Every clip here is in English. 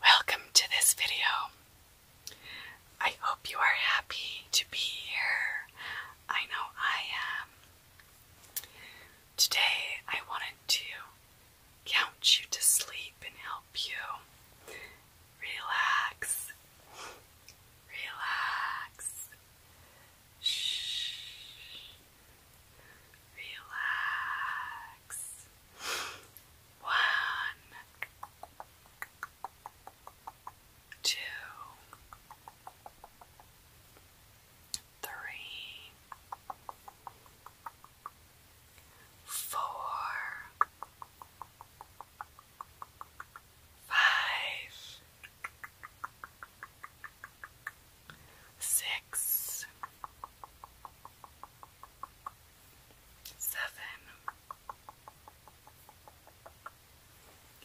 Welcome to this video. I hope you are happy to be here. I know I am. Today I wanted to count you to sleep and help you relax. Relax. Shh. Relax. One, two, three, four, five, six, seven,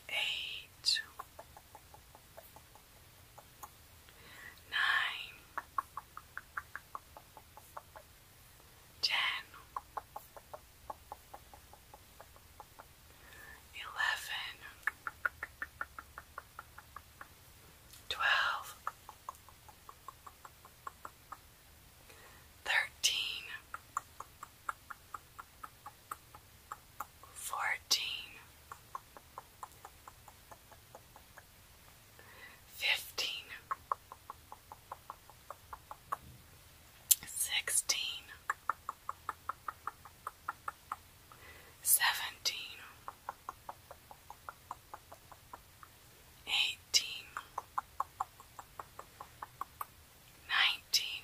eight nine, ten, eleven, twelve, thirteen, fourteen fifteen, sixteen, seventeen, eighteen, nineteen.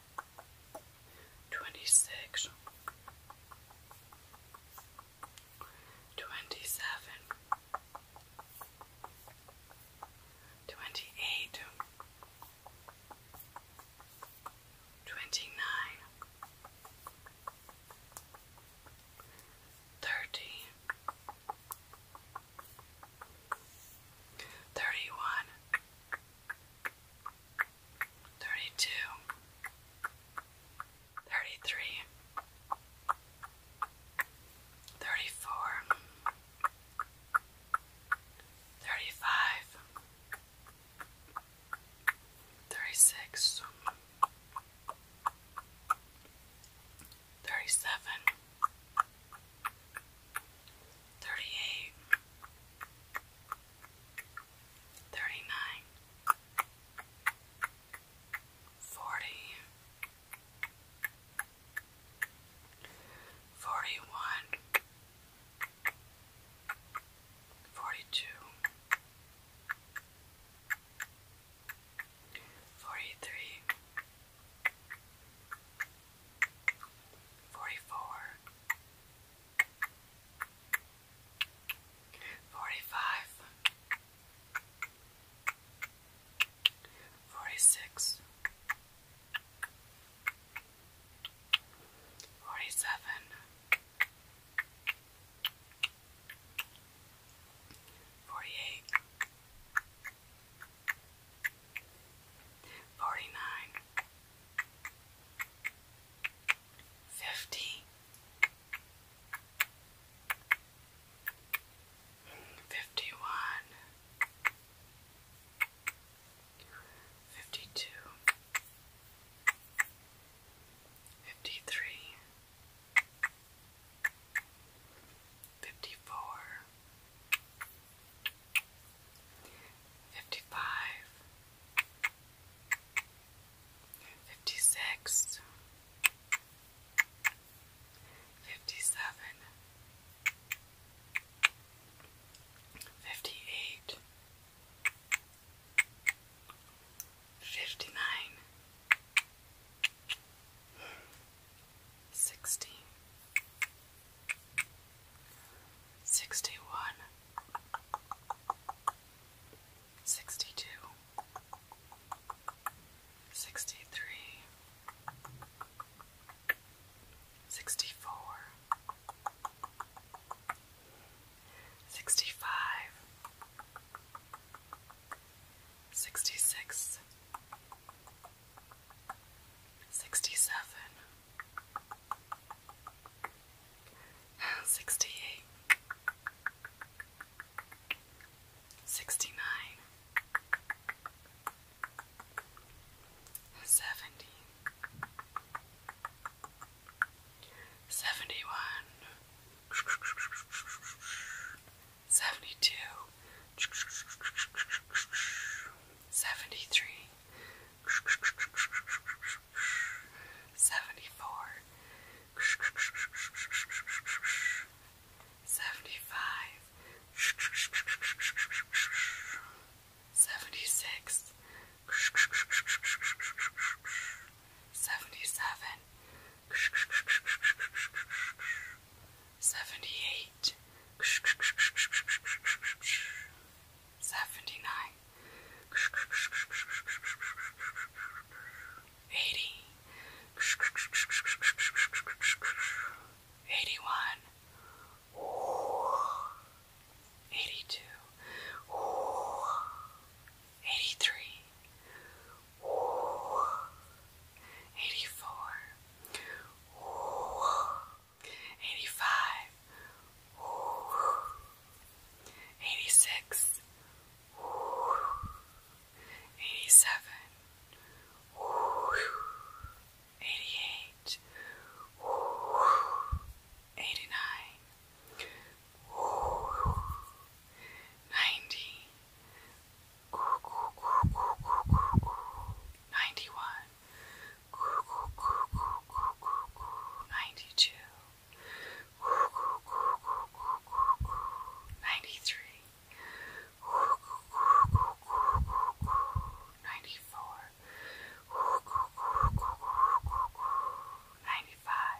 26 27 28 29 30 31 32 33 34 35 36 37 thirty-eight, thirty-nine, forty, forty-one, forty-two, forty-three. 43 Forty-four, forty-five, forty-six, forty-seven, forty-eight. 49 forty-nine, fifty, fifty-one, fifty-two, fifty-three, fifty-four. Fifty-five, fifty-six, fifty-seven, fifty-eight, fifty-nine. Sixty one. Sixty two. Sixty three. Sixty four. 65 Sixty six sixty seven, sixty eight, sixty nine, seventy, seventy one. 71 71 72 73 74 75 76 77 78 79 80 81 82 83 84 85 86 87 88 89 90 91 92 93 94 95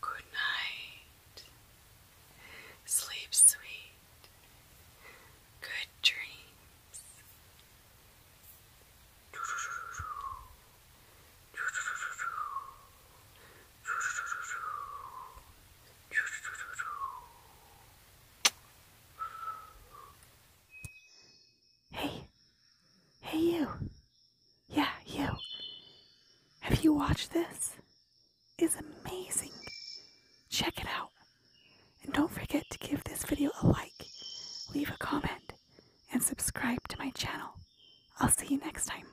Good night. Sleep sweet. Good dreams. Hey. Hey, you. Yeah, you. Have you watched this? It's amazing. Check it out. And don't forget to give this video a like, leave a comment, and subscribe to my channel. I'll see you next time.